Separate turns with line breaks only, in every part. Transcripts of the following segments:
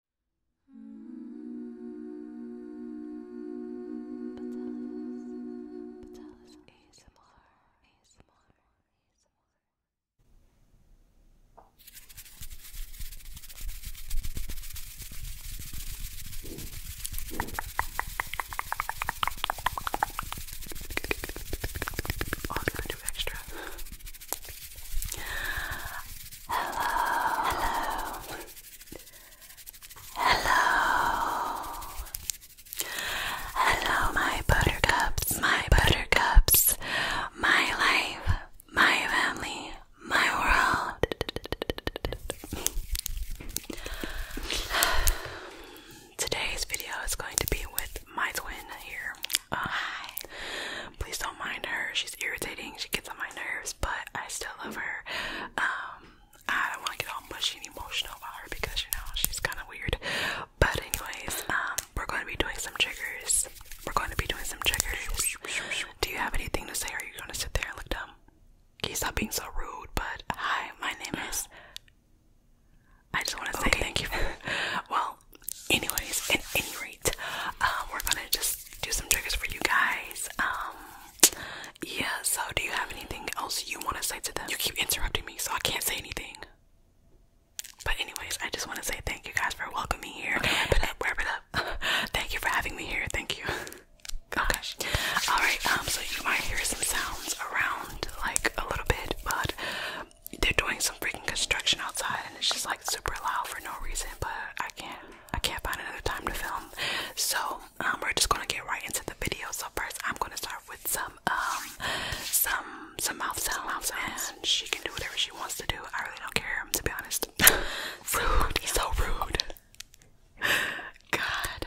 Patalis ASMR, ASMR, ASMR. Oh, I'm gonna do extra. Hello. Hello. Hello. Hello, my buttercups, my buttercups, my life, my family, my world. Today's video is going to be with my twin here. Hi. Uh, Please don't mind her. She's irritating. She gets on my nerves, but I still love her. Um, I don't want to get all mushy and emotional about her because you know she's kind of weird. But anyways, um, we're going to be doing some triggers. We're going to be doing some triggers. Do you have anything to say? are you going to sit there and look dumb? Can you stop being so rude? But hi, my name is. I just want to say thank you Well, anyways, at any rate, um, we're gonna just do some tricks for you guys. Um, yeah, so do you have anything else you want to say to them? You keep interrupting me, so I can't say anything. But anyways, I just want to say thank you guys for welcoming me here. wrap it up, wrap it up. thank you for having me here. Thank you. Gosh. Okay. Alright, um, so you might hear some sounds around like a little bit, but they're doing some freaking construction outside and it's just like super loud for no reason, but I can't I can't find another time to film. So um, we're just gonna get right into the video. So first, I'm gonna start with some um some some mouth sounds, and she can do whatever she wants to do. I really don't care, to be honest. rude, so rude. God.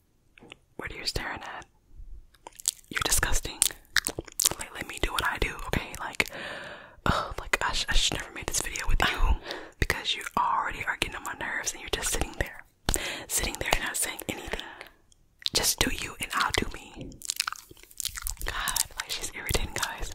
What are you staring at? You're disgusting. Like, let me do what I do, okay? Like, oh, like I, should never made this video with you because you already are getting on my nerves and you're just sitting there, sitting there not saying anything. Just do you and I'll do me. God, like she's irritating, guys.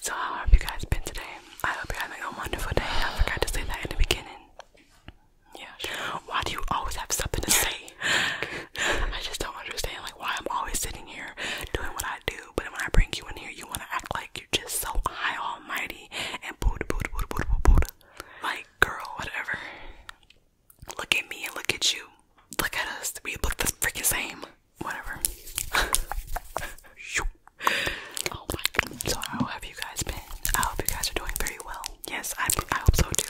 So, how have you guys been today? I hope you're having a wonderful day. I forgot to say that in the beginning. Yeah. Why do you always have something to say? I just don't understand like why I'm always sitting here doing what I do, but when I bring you in here, you want to act like you're just so high almighty and Buddha, Buddha, Buddha, Buddha, Buddha. Like, girl, whatever. Look at me and look at you. Look at us. We look the freaking same. Whatever. Oh so how have you guys been? I hope you guys are doing very well. Yes, I, hope so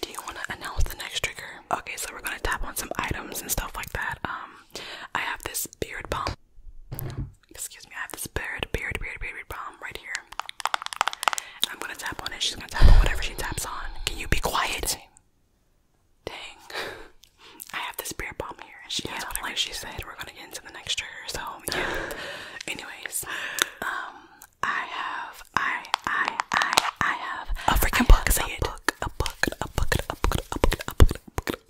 Do you want to announce the next trigger? Okay, so we're gonna tap on some items and stuff like that. Um, I have this beard balm. Excuse me, I have this beard, beard, beard, beard, balm right here. I'm gonna tap on it. She's gonna tap on whatever she taps on. Can you be quiet? Dang. I have this beard balm here, and she has whatever she said. We're gonna get into the next trigger. So yeah. Anyways, um, I have, I, I, I, I have a freaking book. Say it. Book, a book, a book, a book, a book, a book, a book.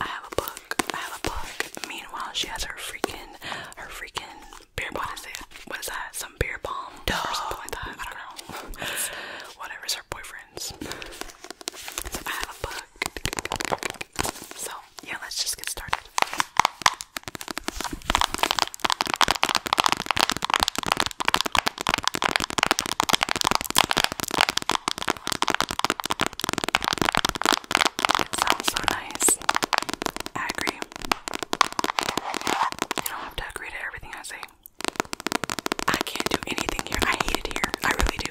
I have a book. I have a book. Meanwhile, she has her freaking, her freaking beer bomb. What is it? What is that? Some beer bomb Duh. or something like that. I don't know. Whatever's her boyfriend's. I have a book. So yeah, let's just get started. sounds so nice. I agree. You don't have to agree to everything I say. I can't do anything here. I hate it here. I really do.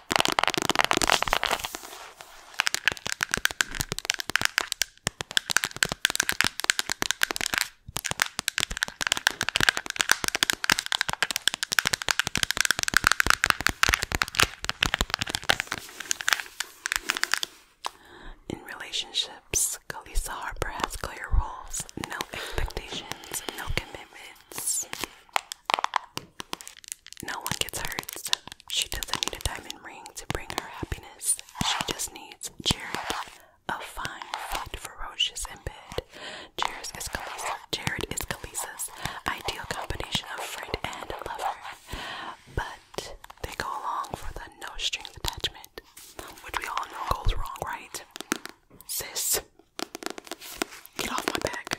In relationships, Kalisa Harper has clear rules, no expectations, no commitments. No one gets hurt. She doesn't need a diamond ring to bring her happiness. She just needs Jared, a fine, fit, ferocious, and bed. Jared is Kalisa. Jared is Kalisa's ideal combination of friend and lover, but they go along for the no strings attachment, which we all know goes wrong, right? Sis, get off my back.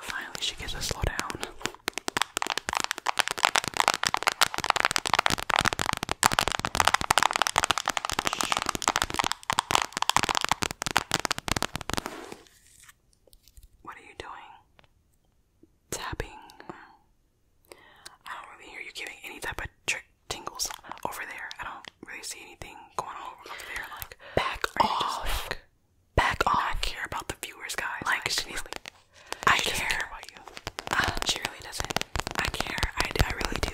Finally, she gets a slow down. What are you doing? tapping. I don't really hear you giving any type of trick tingles over there. I don't really see anything going on over there. Like back off, back off. I care about the viewers, guys. Like, like she, really, I she care. care about you. Uh, she really doesn't. I care. I, I really do.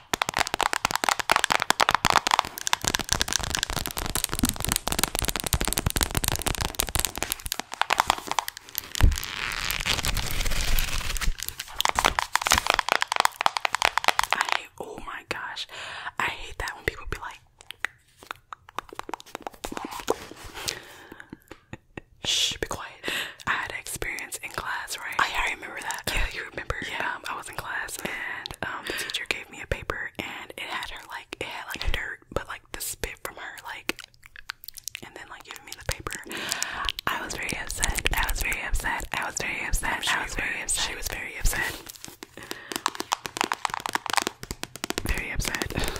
I oh my gosh, I hate that when people be like, shh, be quiet. I had an experience in class, right? I remember that. Yeah, you remember? Yeah, um, I was in class and um, the teacher gave me a paper and it had her like it had like dirt, but like the spit from her like, and then like giving me the paper. I was very upset. I was very upset. I was very upset. Sure I was very upset. She was very upset. Very upset.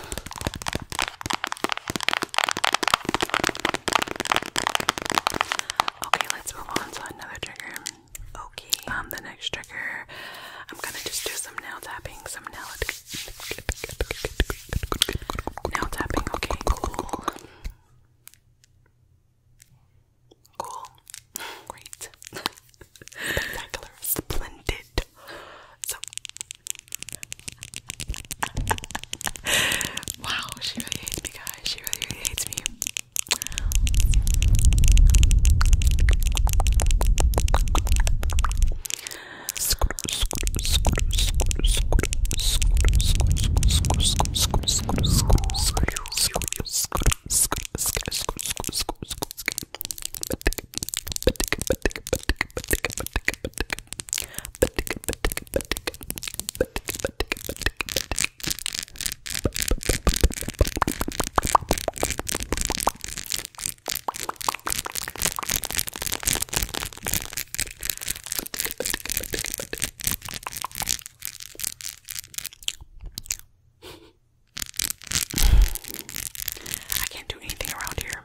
Okay, let's move on to another trigger. Okay. Um, the next trigger, I'm gonna just do some nail tapping, some nail tapping. Okay, cool. Cool. Great. Spectacular. Splendid. So Wow, she really hates me, guys. She really, really hates me. I can't do anything around here.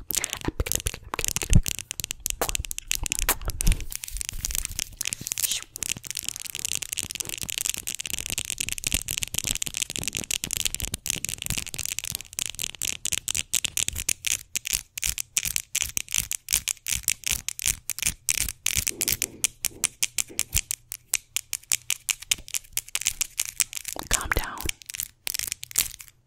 Calm down. Bring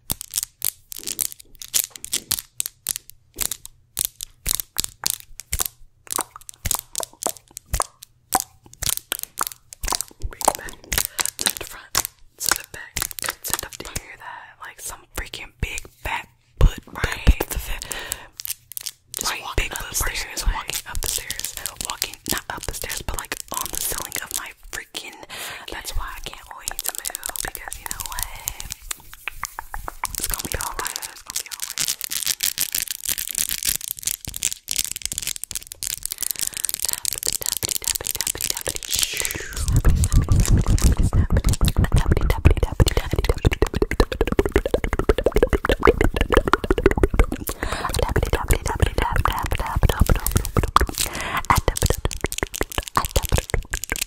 it back to the front, to the back. It's enough to hear that, like some freaking big fat butt right. Just right, walking big up the stairs, like, walking up the stairs, walking not up the stairs, but like on the ceiling of my freaking. That's why I can't need to move because you know what? It's gonna be alright.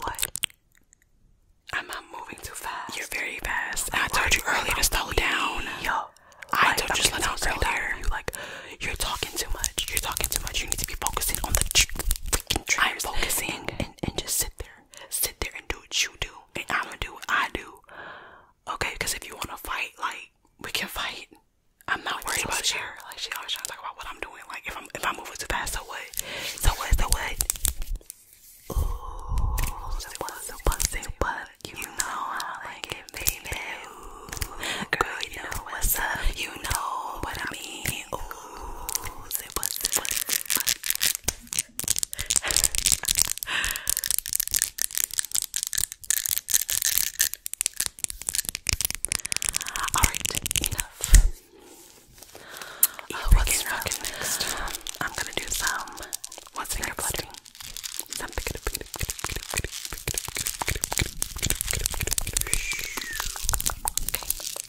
What? I'm not moving too fast. You're very fast. I told you earlier to slow down. Yo, I told you slow down earlier. You like, you're talking too much. You're talking too much. You need to be focusing on the freaking I'm focusing and, and just sit there. Sit there and do what you do, and I'm gonna do what I do. Okay, because if you wanna fight, like we can fight. I'm not worried about you. Like she always trying to talk about what I'm doing. Like if I'm if I'm moving too fast, so what? So what? So what? Ooh, so what? So what? So what? You know I like it, baby. girl, you know what's up. You know what I mean. Ooh, say what? Say what? Alright, enough. what's next? I'm gonna do some. What's finger fluttering? Some Okay.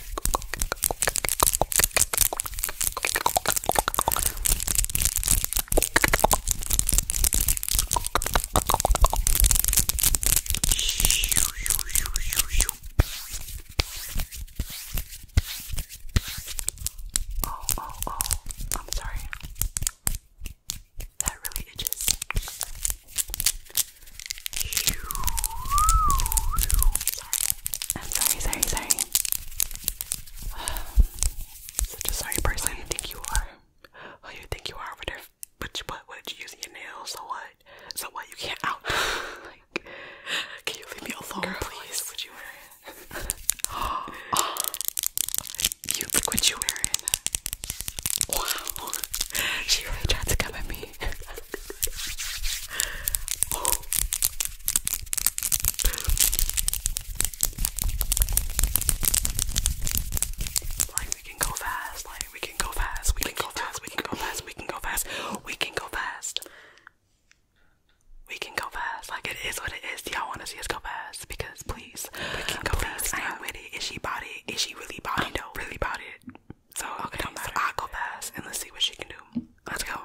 Oh, oh, oh, I'm sorry. That really itches. Sorry. I'm sorry, sorry, sorry. Such a sorry person. you think you are? Who you think you are over there? But you, what? What you use your nails? So what? So what? You can't out. like, can you leave me alone, please? What, what you wearing? oh, you look what you wearing. Wow. She really tried to come at me. Oh. Like we can go fast, like we can go fast, we can go fast, we can go fast, we can go fast, we can go fast. We can go fast. Like it is what it is. Do y'all wanna see us go fast? Because please we can go fast. I am with it. Is she body? Is she really body No, Really body So okay, do I'll go fast and let's see what she can do. Let's go.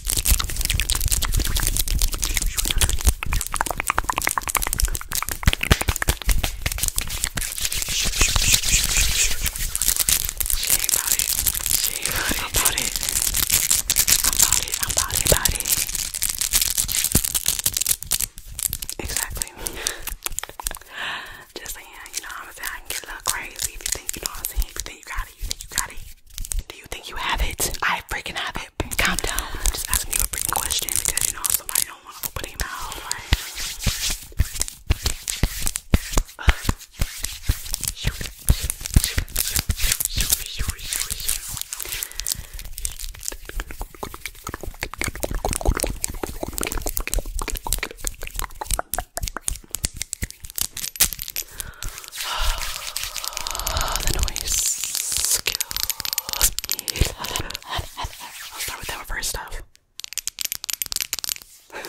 Exactly. Just saying, you know what I'm saying? I can get a little crazy if you think, you know what I'm saying? If you think you got it, you think you got it. Do you think you have it? I freaking have it. Calm down. I'm just asking you a freaking question because you know somebody don't want to open their mouth. the noise I'll start with that first stuff. Who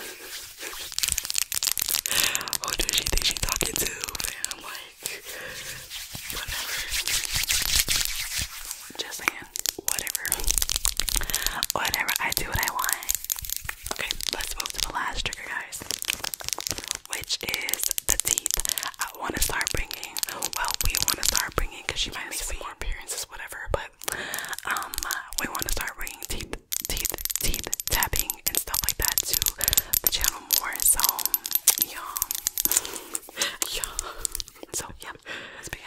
oh, does she think she's talking to? Man, like, whatever. Just saying, whatever. Whatever, I do what I want. Okay, let's move to the last trigger, guys which is the teeth. I want to start bringing, well, we want to start bringing because she might make some more appearances, whatever. But um, uh, we want to start bringing teeth, teeth, teeth tapping and stuff like that to the channel more. So, yeah, yeah. So, yeah, let's begin.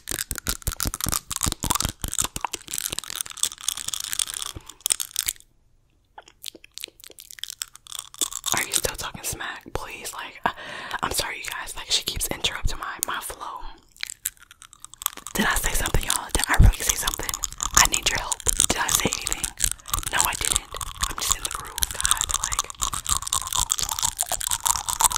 Are you still talking smack? Please, like, uh, I'm sorry, you guys. Like, she keeps interrupting my my flow. Did I say something, y'all? Did I really say something? I need your help. Did I say anything? No, I didn't. I'm just in the groove, God. Like,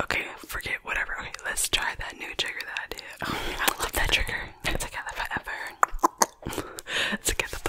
Okay, forget whatever. Okay, let's try that new trigger that I did. Oh, I love that trigger. It's together forever. It's together forever.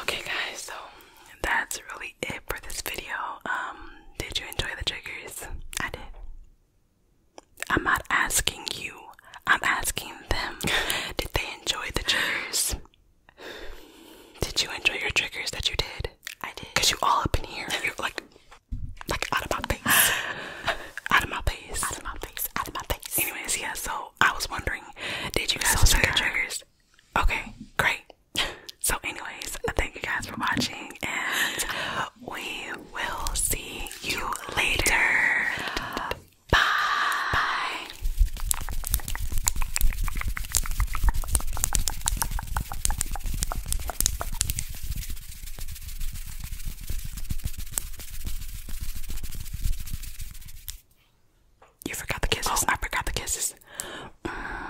Okay guys, so that's really it for this video. Um, did you enjoy the triggers? I did. I'm not asking you, I'm asking them. did they enjoy the triggers? Did you enjoy your triggers that you did? I did. Because you all up in here. You're like, like out of my face. out of my face. Out of my face. Out of my face. Anyways, yeah, so I was wondering, did you guys so enjoy your triggers? Okay, great. so anyways, thank you guys for watching and we will see you, later. later. Bye. You forgot the kisses. Oh, I forgot the kisses. Bye.